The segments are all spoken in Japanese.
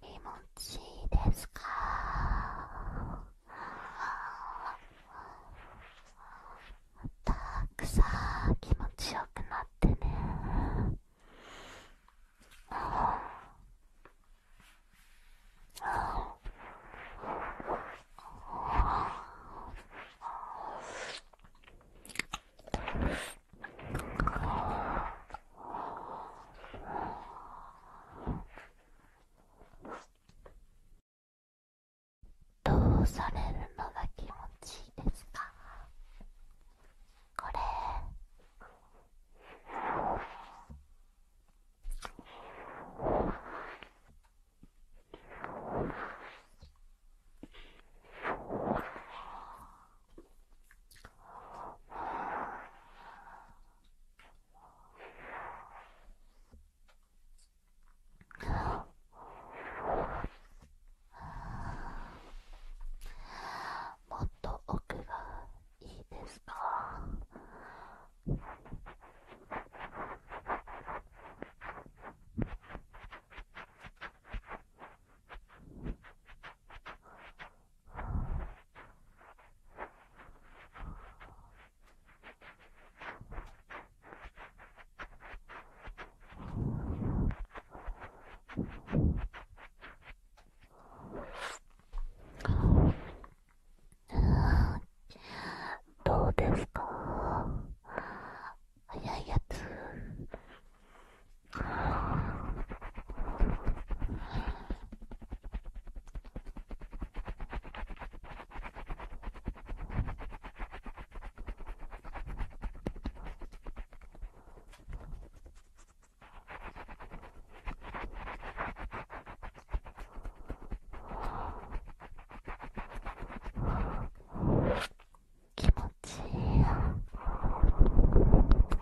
気持ちいいですかたくさん気持ちよくなってねどうされるのが気持ちいいですかこれもっと奥がいいですかどうですか早いやつ気持ちいいよ。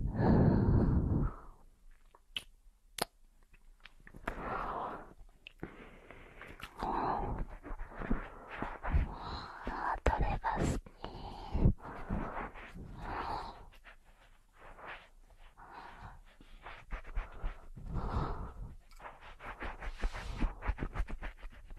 うあ取れが好き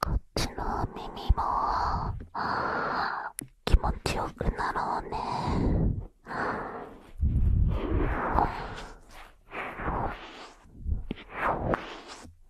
こっちの耳も気持ちよくなろうね。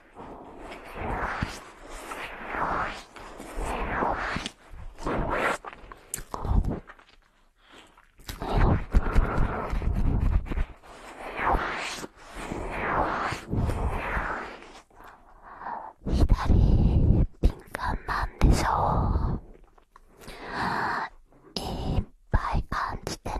左ピ左、敏感なんでしょういっぱい感じてね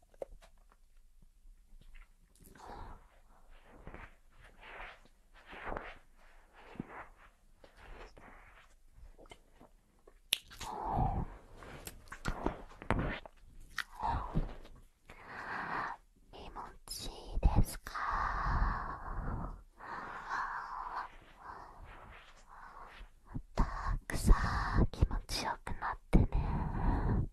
気持ちいいですかたくさん気持ちよくなってね。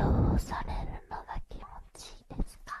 どうされるのが気持ちいいですか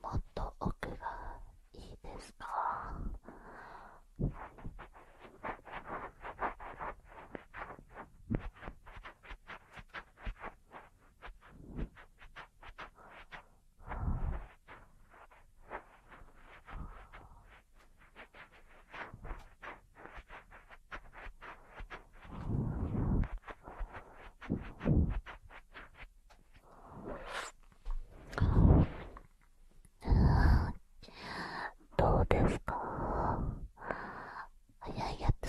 もっと奥がいいですかん…どうですか早いやつ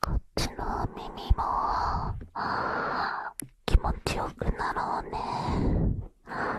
こっちの耳も気持ちよくなろうね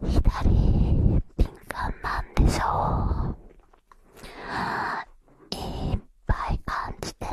左敏感なんでしょういっぱい感じてね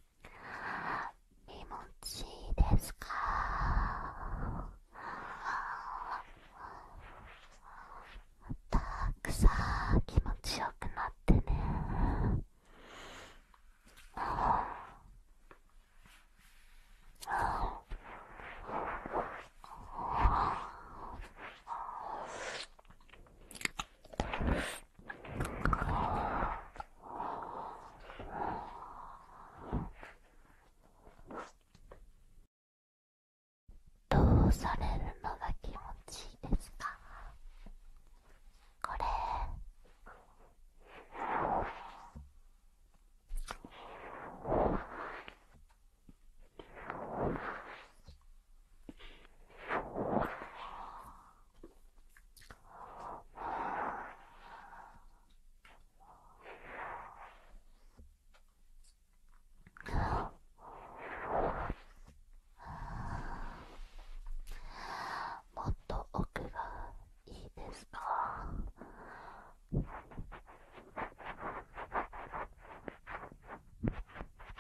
気持ちいいですかたくさん気持ちよくなってねどうされるのが気持ちいいですかこれうもっと奥がいいですか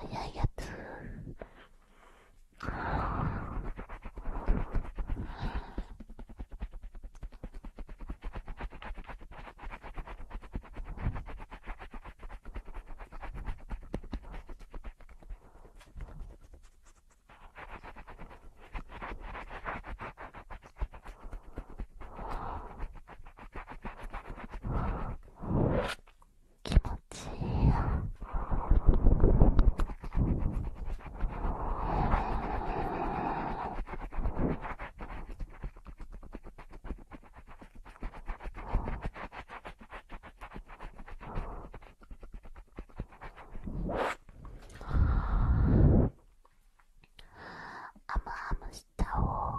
早いやつ気持ちいいよ。あむあむしたを。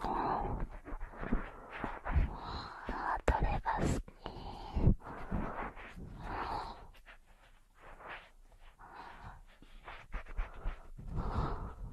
あどれが好き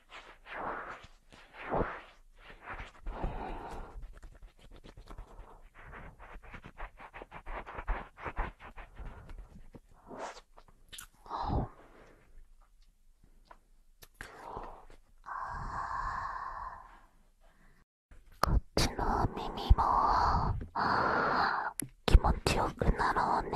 こっちの耳も気持ちよくなろうね。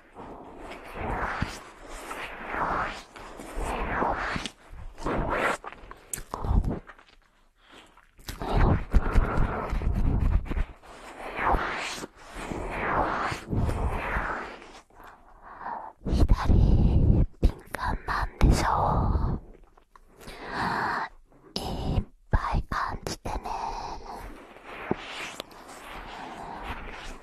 左敏感なんでしょういっぱい感じてね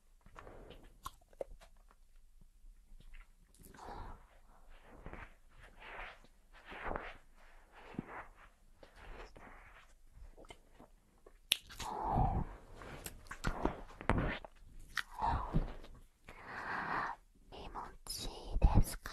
気持ちいいですか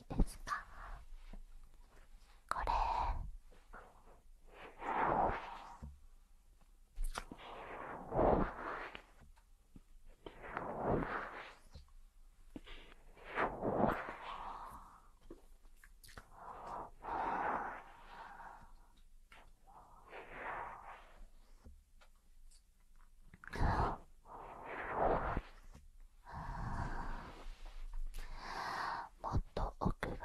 ですかこれもっと奥が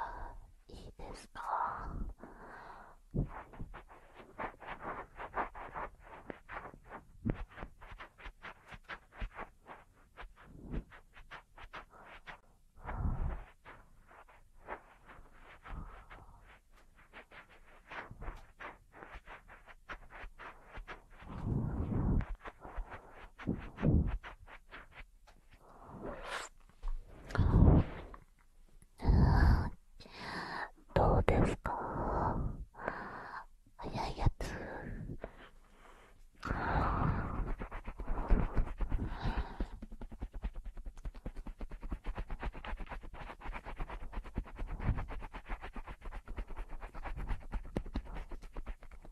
いいですかどうですか早いやつ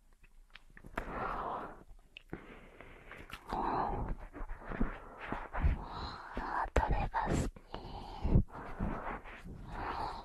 どれが好きあ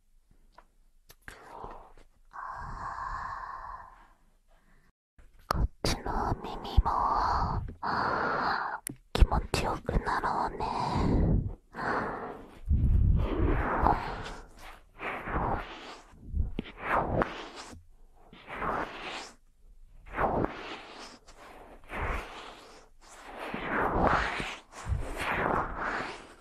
あこっちの耳も気持ちよくなろうねあ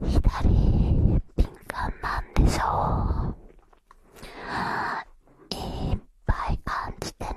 左敏感なんでしょういっぱい感じてね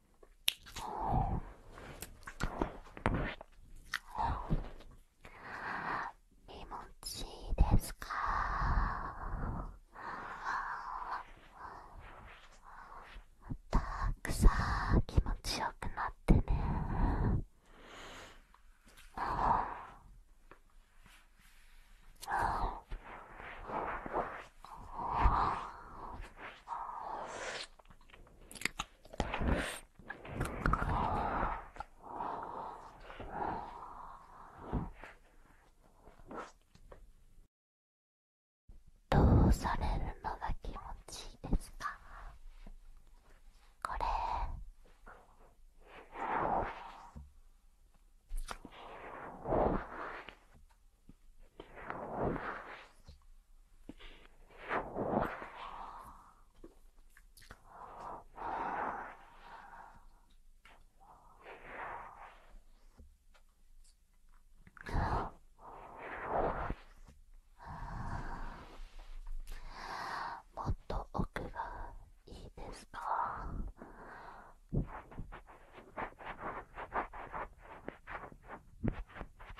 ん、気持ちいいですかたくさん気持ちよくなってねどうされるのが気持ちいいですかこれもっと奥がいいですか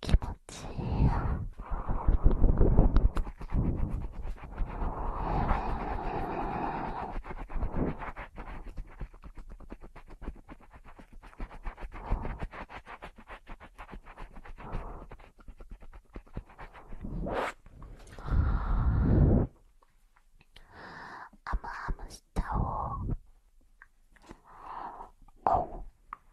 気持ちいいよ。あむあむしたを。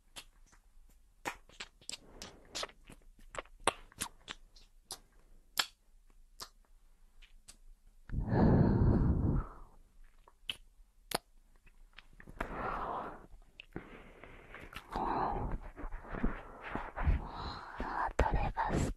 取れが好き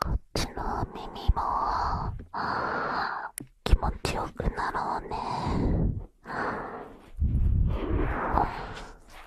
こっちの耳も気持ちよくなろうね。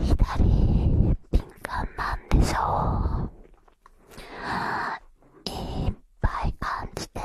左ピンカンなんでしょういぱい感じてね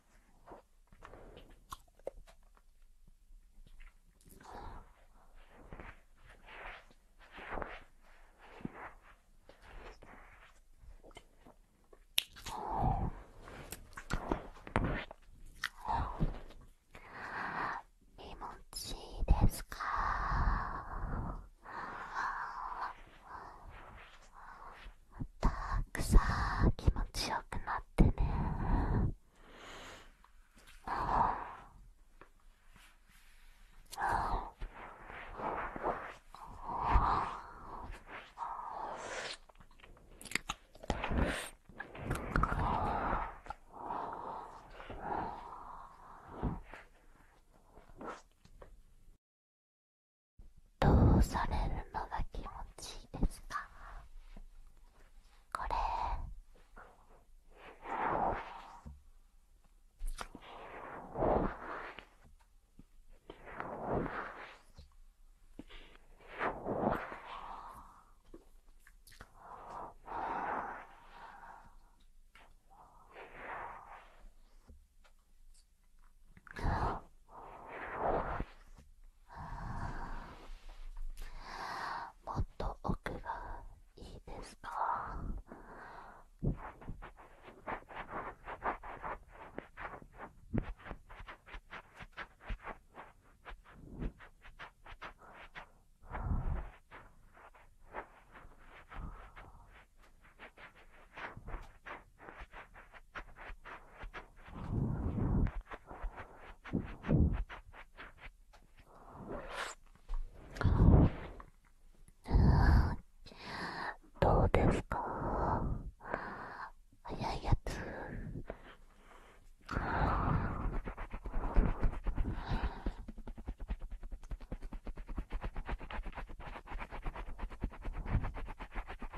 気持ちいいですかたくさん、気持ちよくなってねあああどうされるのが気持ちいいですかこれうもっと奥がいいですかどうですか早いやつ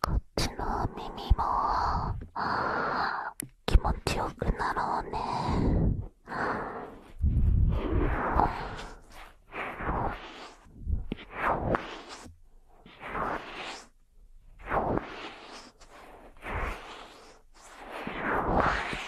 こっちの耳も気持ちよくなろうね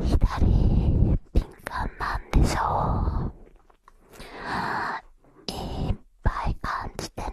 左ピンカンなんでしょういっぱい感じてね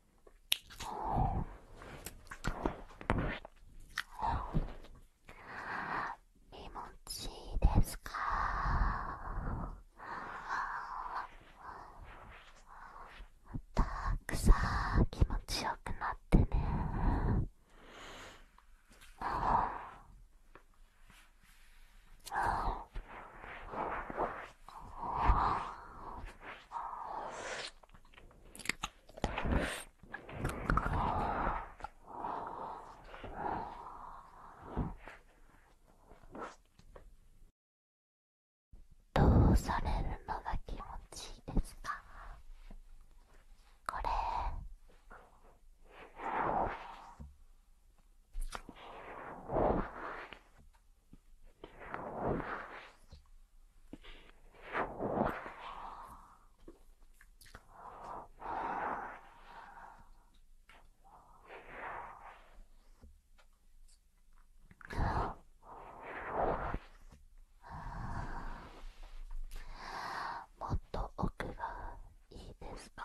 気持ちいいですかたくさん気持ちよくなってねどうされるのが気持ちいいですかこれもっと奥がいいですか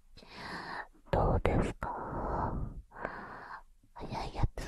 どうですか早いやつ。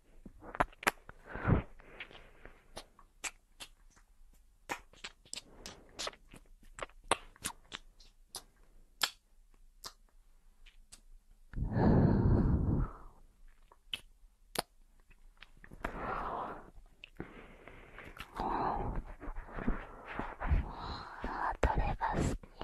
は取れが好き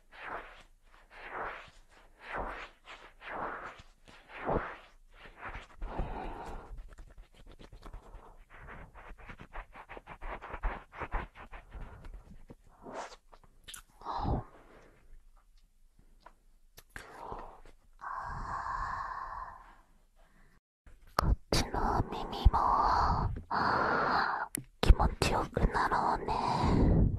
ゅゅこっちの耳も気持ちよくなろうね。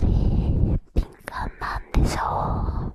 左敏感なんでしょう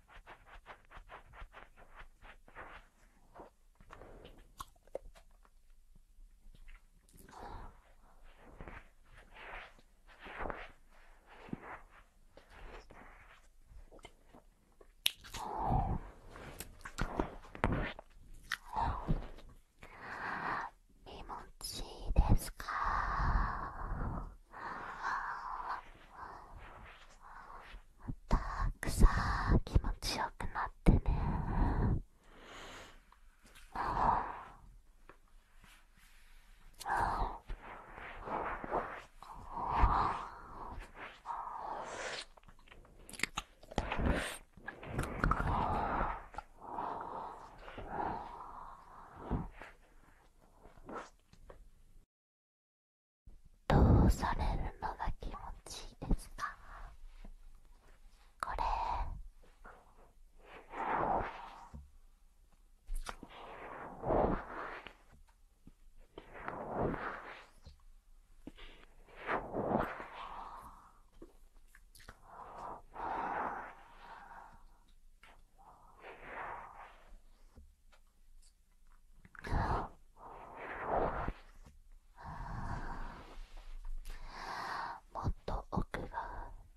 気持ちいいですかたくさん気持ちよくなってねどうされるのが気持ちいいですかこれうもっと奥が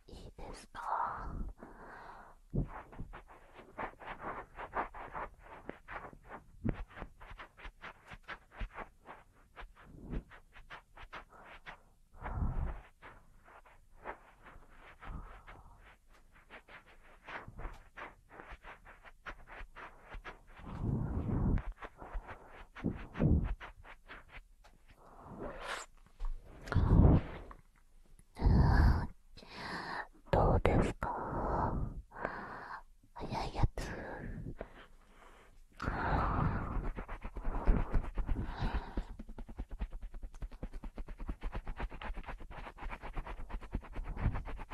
いいですかどうですか早いやつ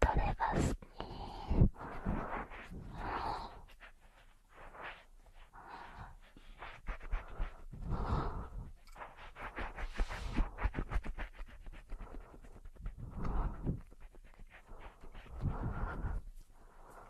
取れが好き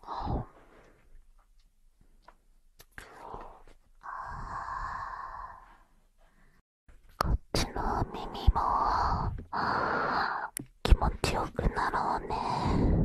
こっちの耳も気持ちよくなろうね。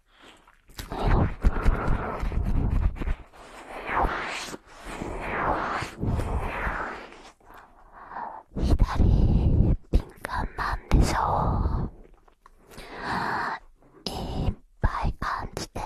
左ピンカンなんでしょういっぱい感じてね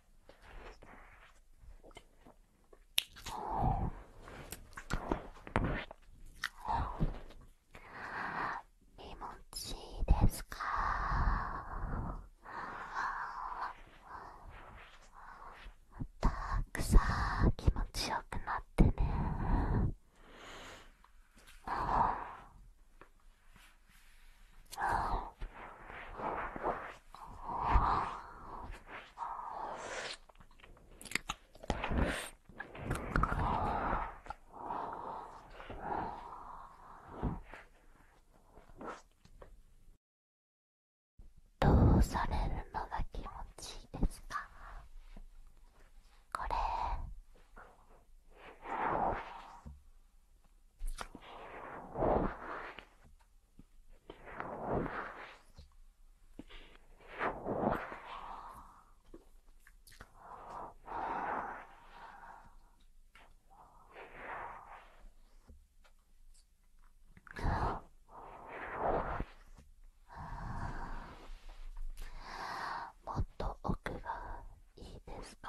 ん、気持ちいいですかたくさん気持ちよくなってね。あどうされるのが気持ちいいですかこれもっと奥がいいですか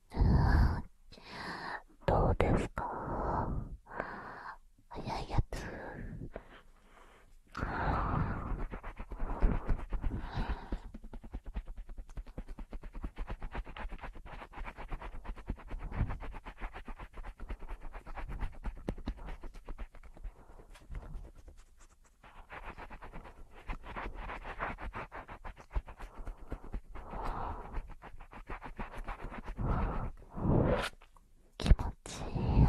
どうですか早いやつ気持ちいいよ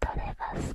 取れまが好き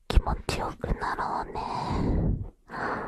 気持ちよくなろうね。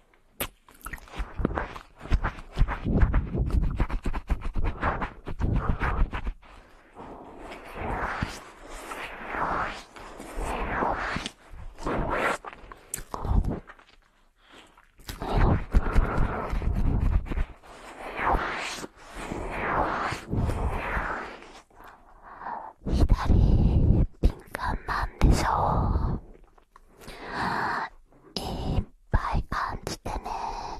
左敏感なんでしょういっぱい感じてねあ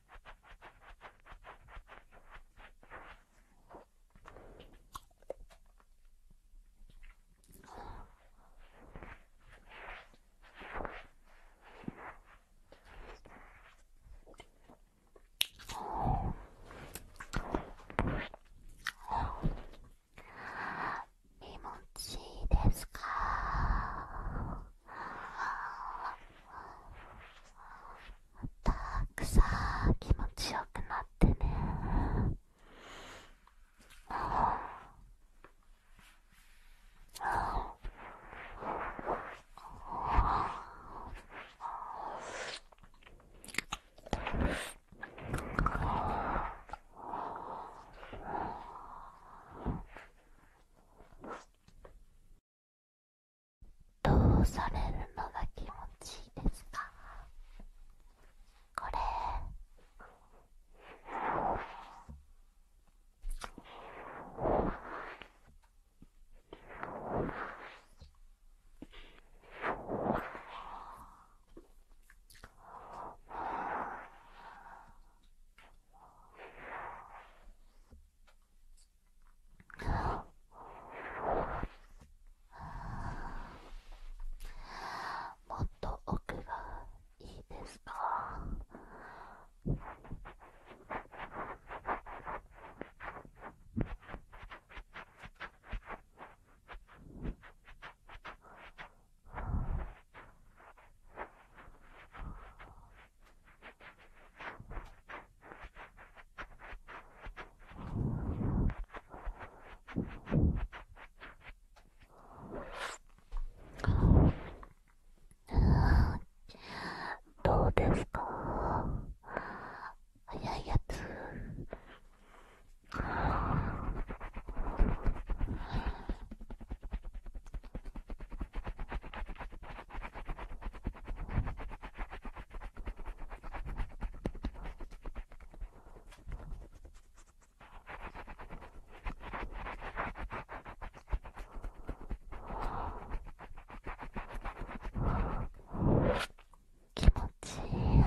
気持ちいいですかたくさん気持ちよくなってねあどうされるのが気持ちいいですかこれもっと奥がいいですかどうですか早いやつ気持ちいいよ。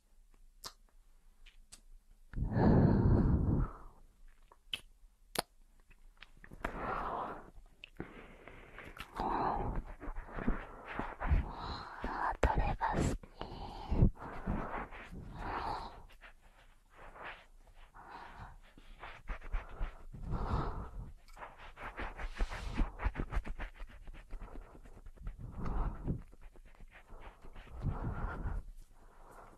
う取れが好き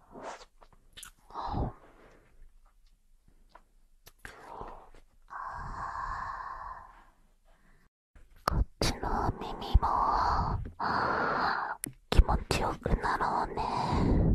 こっちの耳も気持ちよくなろうね。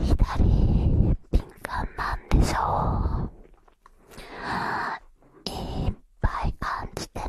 左ピンカンなんでしょういっぱい感じてね